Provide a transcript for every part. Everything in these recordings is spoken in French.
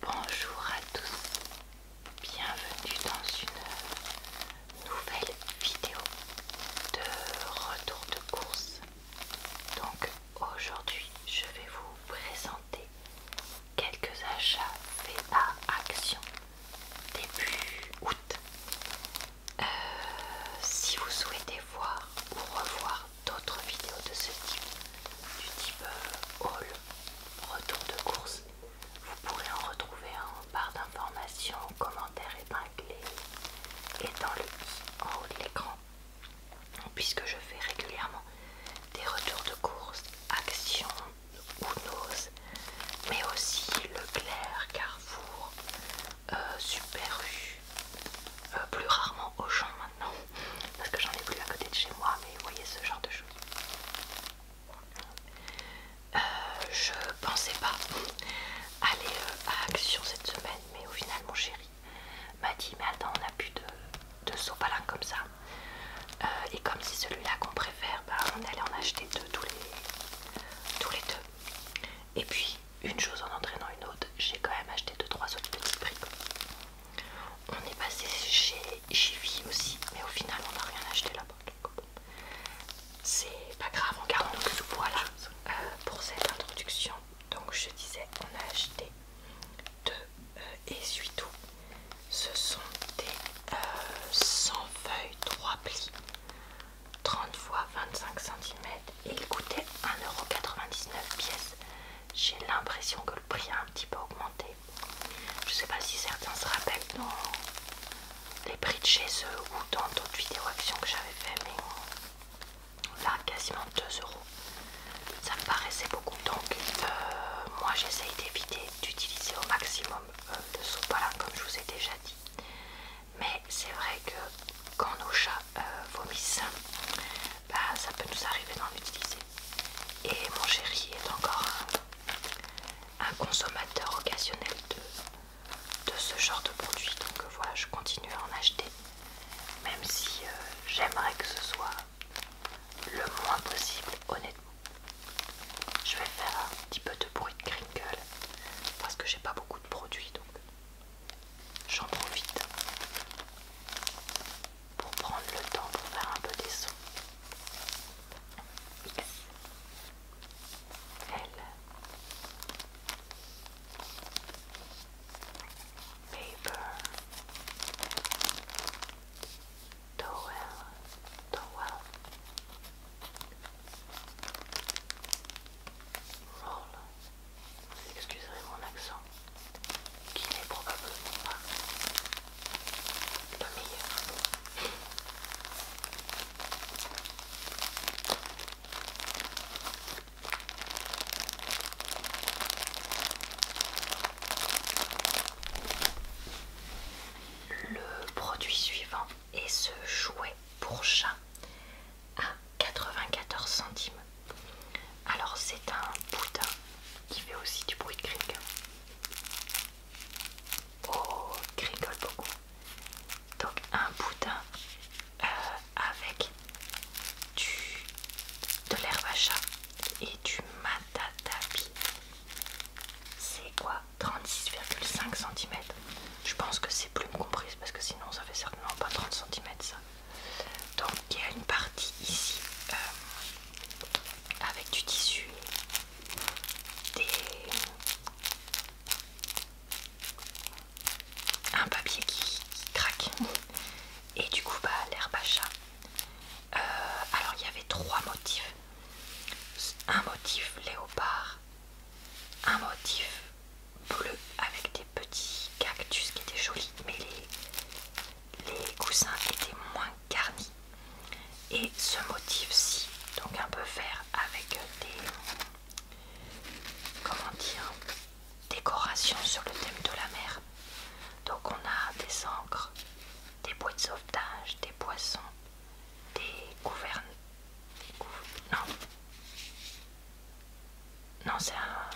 Bonjour à tous, bienvenue dans une nouvelle vidéo de retour de course. Donc aujourd'hui je vais vous présenter quelques achats faits à Action début août. Euh, si vous souhaitez voir ou revoir d'autres vidéos de ce type, du type euh, haul retour de course. Vous pourrez en retrouver en barre d'informations, commentaires épinglés et dans le en haut de l'écran. Puisque je fais régulièrement des retours de course, Action, Unos, mais aussi Leclerc, Carrefour, euh, Super U, euh, plus rarement Auchan maintenant parce que j'en ai plus à côté de chez moi, mais vous voyez ce genre de choses. Euh, je pensais pas aller euh, à Action cette semaine, mais au final, mon chéri m'a dit Mais attends, on a plus de, sopalin comme ça. Euh, et comme c'est celui-là qu'on préfère, bah, on allait en acheter deux, tous les, deux. Et puis, une chose en entraînant une autre, j'ai quand même acheté deux trois autres petits prix. On est passé chez Jivy aussi, mais au final on n'a rien acheté là-bas. C'est pas grave, on garde donc voilà euh, pour cette introduction. Donc je disais, on a acheté deux essuie-tout. Euh, ce sont des 100 euh, feuilles 3 plis, 30 x 25 cm et ils coûtaient 1,99€ pièces. J'ai l'impression que le prix a un petit peu augmenté je sais pas si certains se rappellent dans les prix de chez eux ou dans d'autres vidéos actions que j'avais fait, mais là quasiment 2 euros. Ça me paraissait beaucoup donc euh, moi j'essaye d'éviter d'utiliser au maximum euh, de sopalin comme je vous ai déjà dit. Mais c'est vrai que quand nos chats euh, vomissent, bah, ça peut nous arriver d'en utiliser. Et mon chéri est encore un, consommateur occasionnel de, de ce genre de produit. Donc euh, voilà, je continue à en acheter. Même si euh, j'aimerais que ce soit le moins possible, honnêtement. Je vais faire un petit peu de bruit de crinkle parce que j'ai pas beaucoup de produits donc j'en profite pour prendre le temps pour faire un peu des sons. X, L, paper, towel, roll. Vous excuserez mon accent qui n'est probablement pas la meilleure. Le produit suivant est ce jouet pour chat à 94 centimes. Alors c'est un boudin qui fait aussi du bruit de Oh, grigole beaucoup. Donc un boudin euh, avec du, de l'herbe à chat et du matatabi C'est quoi 36,5 cm. Je pense que c'est plus comprise parce que sinon ça fait certainement pas 30 cm ça. Donc il y a une partie ici euh, avec du tissu, des... un papier qui, craque et du coup bah, l'herbe à chat. Euh, alors il y avait trois motifs. Un motif léopard, un motif bleu avec des petits cactus qui étaient jolis, mais les, les coussins étaient moins garnis et ce motif-ci, donc un peu vert avec des comment dire décorations sur le thème de la mer. Donc on a des encres, des bois de sauvetage, des poissons, des gouvernes. Non, non c'est un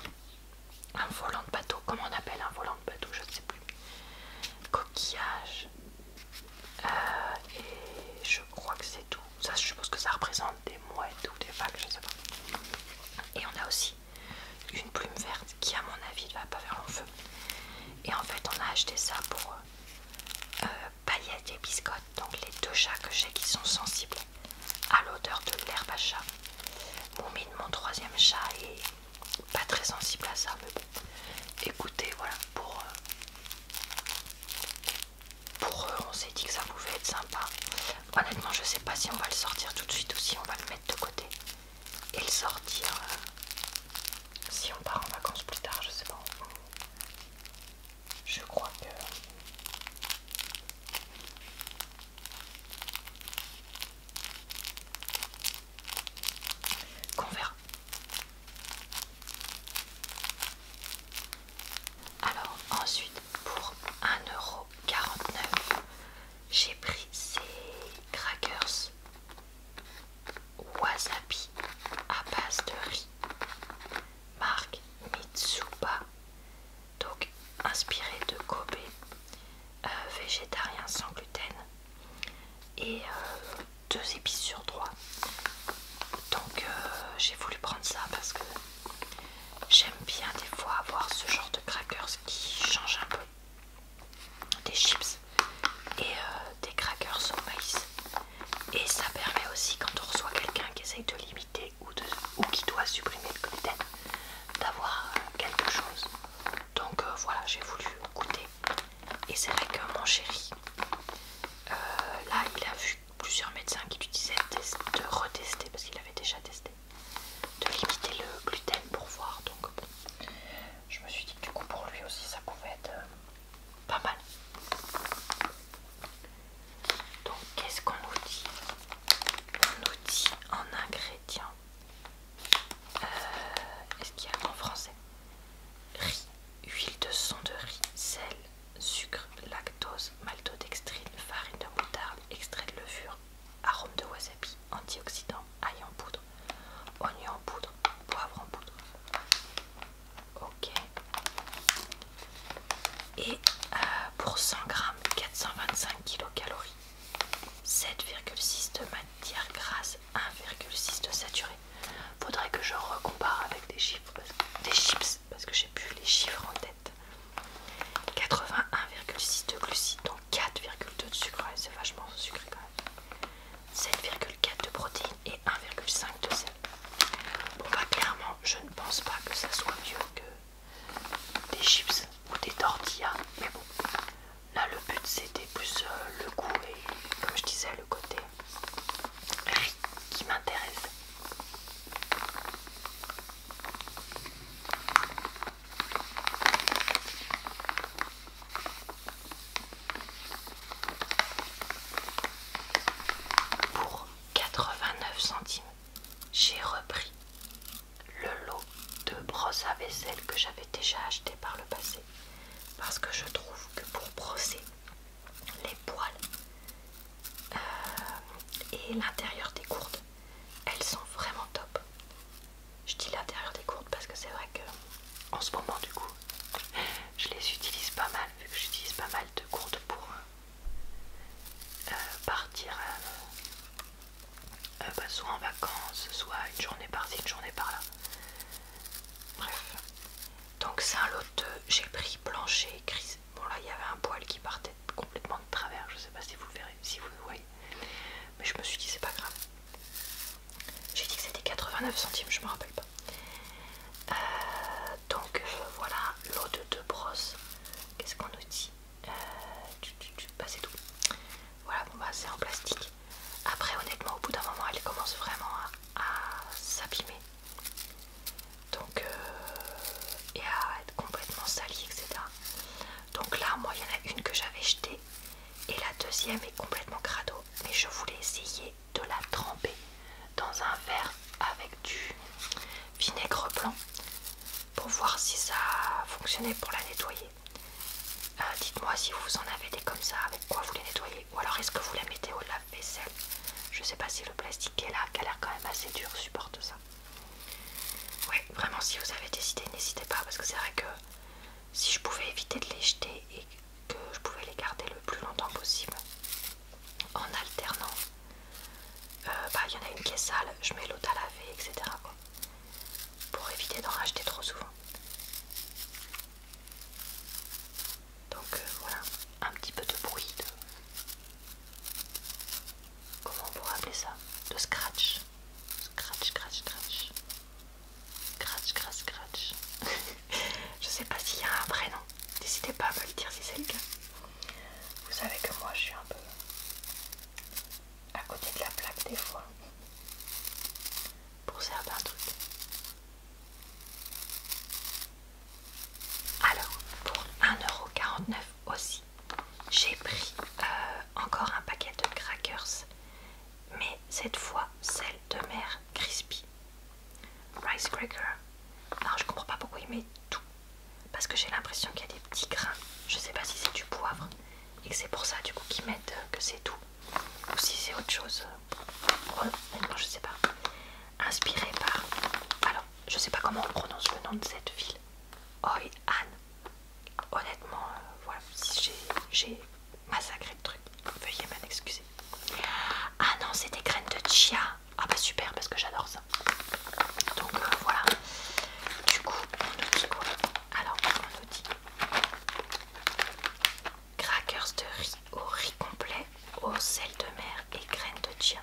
un volant de bateau, comment on appelle un volant de bateau, je ne sais plus, coquillage, euh, et je crois que c'est tout. Ça, je suppose que ça représente des mouettes ou des vagues, je ne sais pas. Et on a aussi une plume verte qui, à mon avis, ne va pas faire le feu. Et en fait, on a acheté ça pour euh, paillettes et biscottes, donc les deux chats que j'ai qui sont sensibles à l'odeur de l'herbe à chat. Moumine, mon troisième chat, et pas très sensible à ça, mais Écoutez, voilà, pour... Euh, pour eux, on s'est dit que ça pouvait être sympa. Honnêtement, je sais pas si on va le sortir tout de suite ou si on va le mettre de côté et le sortir euh, si on part en vacances plus tard, je sais pas. Je crois que qu'on verra. Alors ensuite pour 1,49€, j'ai pris ces crackers wasabi à base de riz, marque Mitsuba, donc inspiré de Kobe, euh, végétarien sans gluten et euh, deux épices sur trois. Donc euh, j'ai voulu prendre ça parce que j'aime bien des fois avoir ce genre de crackers qui change un peu des chips et euh, des crackers au maïs. Et ça permet aussi quand on reçoit quelqu'un qui essaye de limiter ou, ou qui doit supprimer le gluten d'avoir quelque chose donc euh, voilà, j'ai voulu goûter. Et c'est vrai que mon chéri, euh, là, il a vu plusieurs médecins qui lui disaient de, retester, parce qu'il avait déjà testé, de limiter le gluten pour voir. Donc bon, je me suis dit que du coup, pour lui aussi, ça pouvait être euh, pas mal. Donc, qu'est-ce qu'on nous dit On nous dit en ingrédients euh, est-ce qu'il y a en français Riz, huile de son de riz, sel, sucre, lactose, maltodextrine, farine de moutarde, extrait de levure, arôme de wasabi, antioxydant, ail en poudre, oignon en poudre, poivre en poudre. Ok. Et euh, pour 100 grammes, 425 kcal. 7,6 de matière grasse, 1,6 de saturé. Faudrait que je recompare avec des chiffres, des chips, parce que j'ai plus les chiffres en tête. 81,6 de glucides, donc 4,2 de sucre, c'est vachement sucré quand même. 7,4 de protéines et 1,5 de sel. Bon bah clairement, je ne pense pas que ça soit mieux que des chips ou des tortillas, mais bon, Là, le but c'était plus euh, le goût et, comme je disais, le côté qui m'intéresse. Pour 89 centimes, j'ai repris le lot de brosse à vaisselle que j'avais déjà acheté par le passé parce que je trouve que pour brosser les poils euh, et l'intérieur des gourdes elles sont vraiment top je dis l'intérieur des gourdes parce que c'est vrai que en ce moment du coup je les utilise pas mal vu que j'utilise pas mal de gourdes pour euh, euh, partir euh, soit en vacances, soit une journée par-ci, une journée par-là. Bref. Donc lot de... j'ai pris plancher gris. Bon là, il y avait un poil qui partait complètement de travers. Je sais pas si vous le verrez, si vous voyez. Mais je me suis dit, c'est pas grave. J'ai dit que c'était 89 centimes, je me rappelle pas. Euh, donc voilà, lot de deux brosses. Qu'est-ce qu'on nous dit euh, bah, C'est tout. Voilà, bon bah c'est en plastique. Après, honnêtement, au bout d'un moment, elle commence vraiment à, s'abîmer. Donc, euh, et à être complètement salie, etc. Donc là, moi, il y en a une que j'avais jetée. Et la deuxième est complètement crado. Mais je voulais essayer de la tremper dans un verre avec du vinaigre blanc pour voir si ça fonctionnait pour la nettoyer. Euh, dites-moi si vous en avez des comme ça, avec quoi vous les nettoyez. Ou alors est-ce que vous les mettez au lave-vaisselle Je sais pas si le plastique est là, qui a l'air quand même assez dur, supporte ça. Ouais, vraiment si vous avez des idées, n'hésitez pas, parce que c'est vrai que si je pouvais éviter de les jeter et que je pouvais les garder le plus longtemps possible en alternant, euh, bah, il y en a une qui est sale, je mets l'autre à laver, etc. pour éviter d'en racheter trop souvent. Donc euh, voilà, un petit peu de bruit de... Comment on pourrait appeler ça De scratch. Scratch, scratch, scratch. Scratch, scratch, scratch. je sais pas s'il y a un vrai nom. N'hésitez pas à me le dire si c'est le cas. Vous savez que moi je suis un peu à côté de la plaque des fois pour certains truc Alors pour 1,49€ aussi, j'ai pris euh, encore un paquet de crackers, mais cette fois celle de mer crispy. Rice cracker. Alors je comprends pas pourquoi il met tout. Parce que j'ai l'impression qu'il y a des petits grains. Je sais pas si c'est du poivre, et que c'est pour ça du coup qu'ils mettent euh, que c'est tout ou si c'est autre chose euh, je sais pas inspiré par alors je sais pas comment on prononce le nom de cette ville Hoi An honnêtement euh, voilà si j'ai massacré le truc veuillez m'en excuser ah non c'est des graines de chia ah bah super parce que j'adore ça donc voilà du coup on nous dit quoi alors on nous dit Crackers de riz au riz complet, au sel de mer et graines de chia.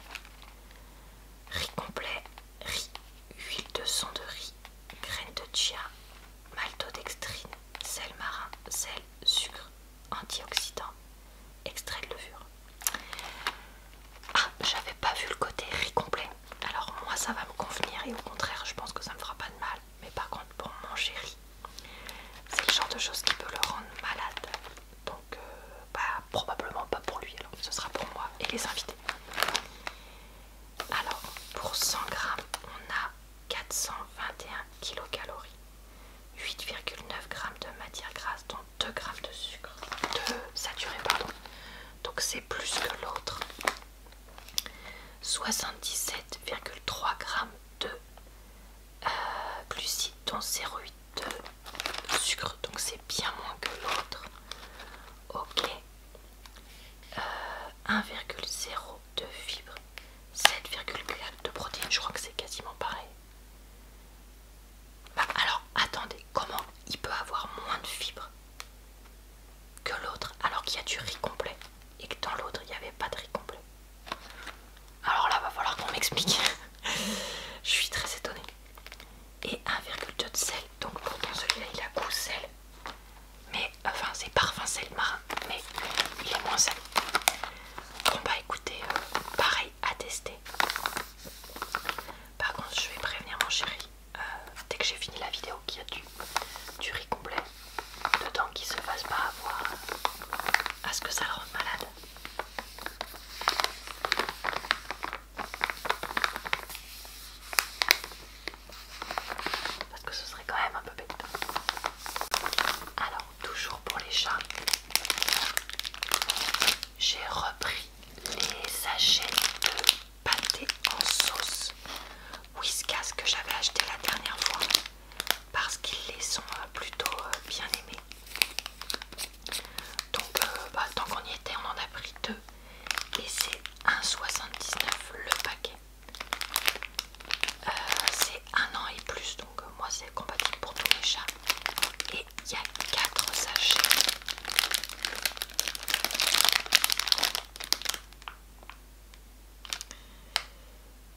Riz complet, riz, huile de sang de riz, graines de chia, maltodextrine, sel marin, sel, sucre, antioxydant, extrait de levure. Ah, j'avais pas vu le côté riz complet. Alors moi ça va me convenir et au contraire je pense que ça me fera pas de mal. Mais par contre pour mon chéri, c'est le genre de choses qui peut le rendre malade. Donc euh, bah, probablement pas pour lui alors, ce sera pour moi et les invités. Alors pour 100 grammes, on a 421 kilocalories, 8,9 grammes de matière grasse, dont 2 grammes de sucre, 2 saturé pardon. Donc c'est plus que l'autre. 77,3 g de plus euh, glucides dont 0,8 de sucre donc c'est bien moins que l'autre ok 1,0 euh, de fibres 7,4 de protéines je crois que c'est quasiment pareil bah, alors attendez comment il peut avoir moins de fibres que l'autre, alors qu'il y a du riz complet et que dans l'autre il n'y avait pas de riz complet. Alors là, va falloir qu'on m'explique. Je suis très étonnée. Et 1,2 de sel, donc pourtant celui-là il a goût sel, mais enfin c'est parfum sel marin, mais il est moins sel Bon bah écoutez, euh, pareil à tester. Par contre, je vais prévenir mon chéri euh, dès que j'ai fini la vidéo il y a du, riz complet dedans qui se fasse pas avoir à ce que ça le rende malade. Parce que ce serait quand même un peu bête. Alors, toujours pour les chats, j'ai repris les sachets de pâtés en sauce Whiskas que j'avais acheté la dernière fois parce qu'ils les sont euh, plutôt euh, bien aimés. Donc euh, bah, tant qu'on y était, on en a pris deux et c'est 1,79 le paquet. c'est un an et plus donc moi c'est compatible pour tous les chats et il y a 4 sachets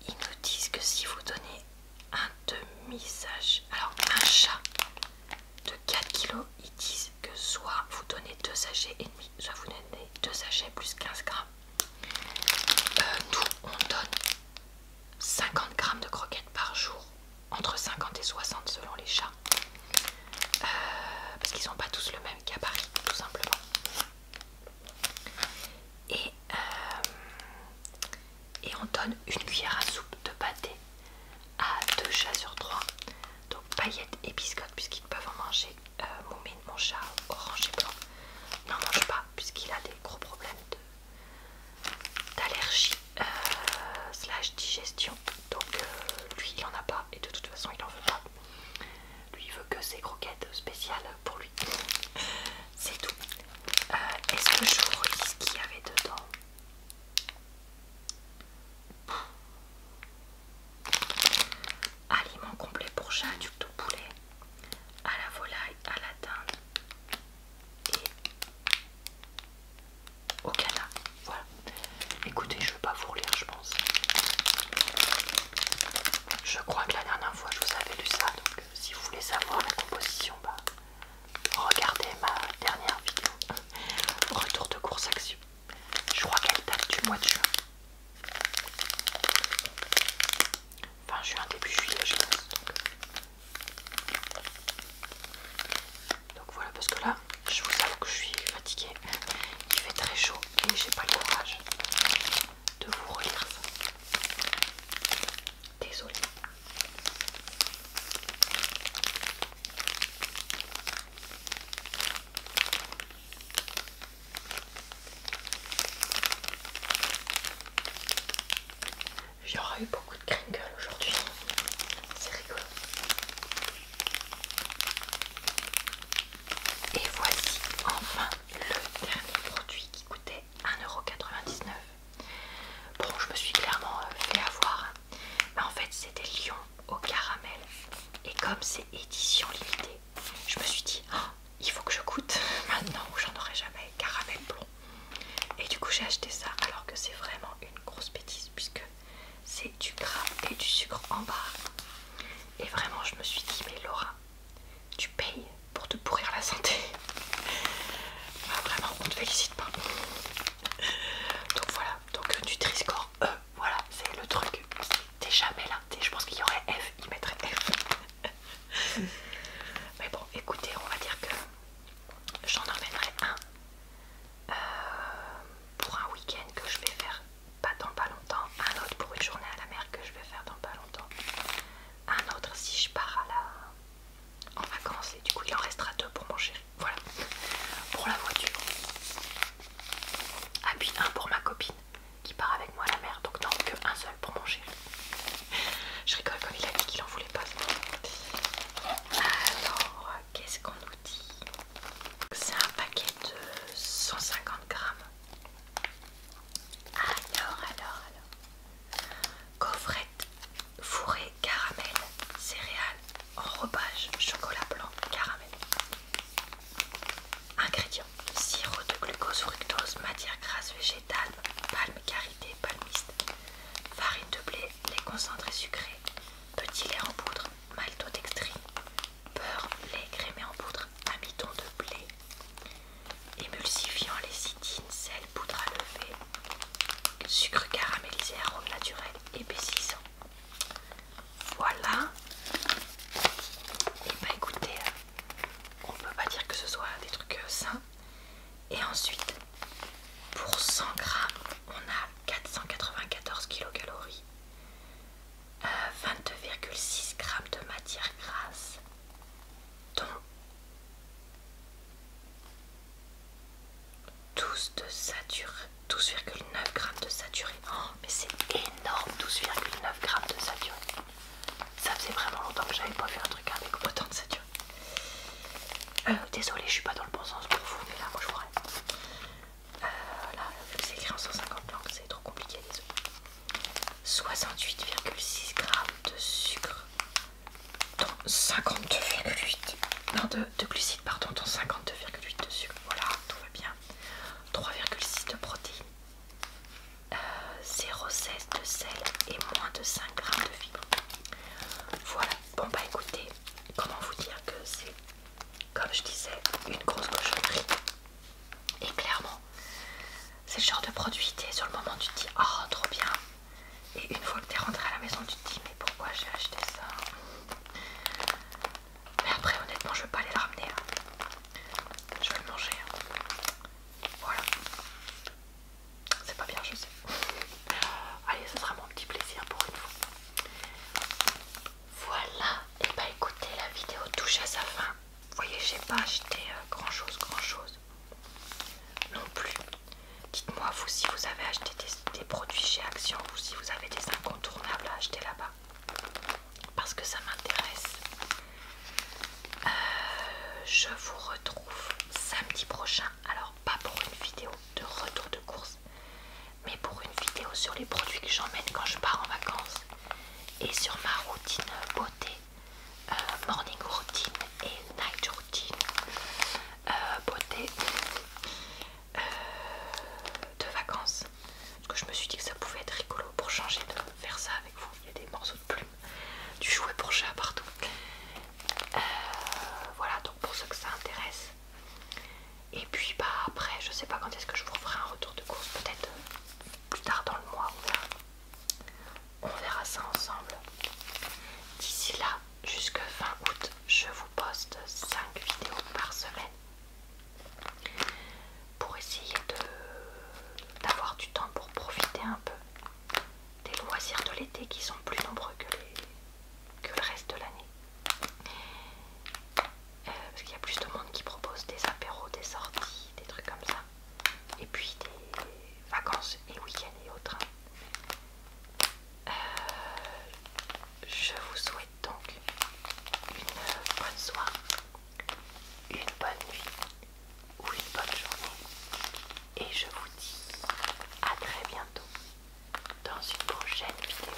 ils nous disent que si vous donnez un demi-sachet, alors un chat de 4 kg, ils disent que soit vous donnez 2 sachets et demi, soit vous donnez 2 sachets plus 15 grammes. Euh, nous, on donne 50 grammes de croquettes par jour, entre 50 et 60 selon les chats, euh, parce qu'ils sont pas tous le même gabarit, tout simplement. Euh, et, on donne une cuillère à soupe de pâté à deux chats sur trois. Donc paillettes et biscottes puisqu'ils peuvent en manger. Moumine, euh, mon, mon chat orange et blanc n'en mange pas puisqu'il a des gros problèmes d'allergie euh, slash digestion. Donc lui il en a pas et de toute façon il en veut pas. Lui veut que ses croquettes spéciales pour lui. C'est tout. Euh, est-ce que je vous ce qu'il y avait dedans Aliments complet pour chat, du tout poulet, à la volaille, à la dinde et au canard. Voilà. Écoutez, je ne vais pas vous lire. je pense. Je crois que la dernière fois je vous avais lu ça, donc euh, si vous voulez savoir la composition, bah, regardez ma dernière vidéo. Retour de course action. Je crois qu'elle date du mois de juin. Enfin juin, début juillet, je pense. Donc. donc voilà, parce que là, je vous avoue que je suis fatiguée. Il fait très chaud je j'ai pas le courage de vous relire ça. Désolée. J'aurais eu beaucoup de cringue aujourd'hui. C'est rigolo. Et voici enfin le dernier produit qui coûtait 1,99€. Bon, je me suis clairement euh, fait avoir. Mais en fait, c'était des lions au caramel. Et comme c'est édition limitée, je me suis dit, Ah, il faut que je goûte maintenant j'en aurai jamais. Caramel blond. Et du coup, j'ai acheté ça alors que c'est vraiment une grosse bêtise puisque c'est du gras et du sucre en barre. Et vraiment, je me suis dit, mais Laura, tu payes pour te pourrir la santé. Ah, vraiment, on te félicite pas. Donc voilà, donc du score E, euh, voilà, c'est le truc. T'es jamais là, je pense qu'il y aurait F, il mettrait F. Mais bon, écoutez, on va dire que j'en emmènerai un euh, pour un week-end que je vais faire pas dans pas longtemps, un autre pour une journée à la mer que je vais faire dans pas longtemps, un autre si je pars à la... en vacances et du coup il en restera deux pour mon chéri. Voilà, pour la voiture. Ah puis un pour ma copine qui part avec moi à la mer, donc non que un seul pour mon chéri. Je rigole quand il a dit qu'il en voulait pas. Alors qu'est-ce qu'on nous dit C'est un paquet de 150 grammes alors, alors, alors. Gaufrette, fourré, caramel, céréales, enrobage, chocolat blanc, caramel. Ingrédients sirop de glucose, fructose, matière grasse végétale, palme, carité palmiste, farine de blé, lait concentré sucré, petit lait en poudre, maltodextrine, beurre, lait crémé en poudre, amidon de blé, émulsifiant, lécithine, sel, poudre à lever, sucre caramélisé, arôme naturel, épaississant. Voilà. Et eh bah ben, écoutez, euh, on peut pas dire que ce soit des trucs euh, sains. Et ensuite, pour 100 grammes, on a 494 kilocalories. 22,6 g de matière grasse, dont 12,9 de saturé, 12,9 g de saturé. Oh, mais c'est énorme, 12,9 g de saturé. Ça faisait vraiment longtemps que j'avais pas fait un truc avec autant de saturé. Euh, désolée, je suis pas dans le bon sens pour vous, mais là, moi je vois rien euh, c'est écrit en 150 langues, c'est trop compliqué, désolé. 68,6 g de sucre, dans 52,8 g de, glucides pardon, dans 52,8 de sucre. Voilà, tout va bien. 3,6 de protéines, 016 euh, 0,16 de sel et moins de 5 g de fibres. Voilà. Bon bah écoutez, comment vous dire que c'est, comme je disais, une grosse cochonnerie. Et clairement, c'est le genre de produit, sur le moment tu te dis oh trop bien. Et une fois que es rentré à la maison, tu te dis mais pourquoi j'ai acheté ça Mais après honnêtement je vais pas aller le ramener. Hein. Je vais le manger. Hein. Voilà. C'est pas bien je sais. Allez, ce sera mon petit plaisir pour une fois. Voilà, et bah écoutez, la vidéo touche à sa fin. Vous voyez, j'ai pas acheté euh, grand chose, grand chose non plus. Dites-moi, vous, si vous avez acheté des, produits chez Action ou si vous avez des incontournables à acheter là-bas, parce que ça m'intéresse. Euh, je vous retrouve samedi prochain, alors pas pour une vidéo de retour de course, mais pour une vidéo sur les produits que j'emmène quand je pars en vacances et sur ma routine beauté, euh, morning routine et night routine euh, beauté euh, de vacances. Parce que je me suis dit que ça pouvait être rigolo pour changer de faire ça avec vous. Il y a des morceaux de plumes, du jouet pour chat partout. voilà donc pour ceux que ça intéresse. Et puis bah après je sais pas quand est-ce que je vous ferai un retour de course peut-être plus tard dans le mois, on verra, ça ensemble. D'ici là, jusque fin août, je vous poste 5 vidéos par semaine pour essayer d'avoir du temps pour profiter un peu des loisirs de l'été qui sont plus nombreux que le reste de l'année. Euh, parce qu'il y a plus de monde qui propose des apéros, des sorties, des trucs comme ça, et puis des vacances et week-ends et autres. Euh, je vous souhaite donc une bonne soirée, une bonne nuit ou une bonne journée, et je vous dis à très bientôt dans une prochaine vidéo.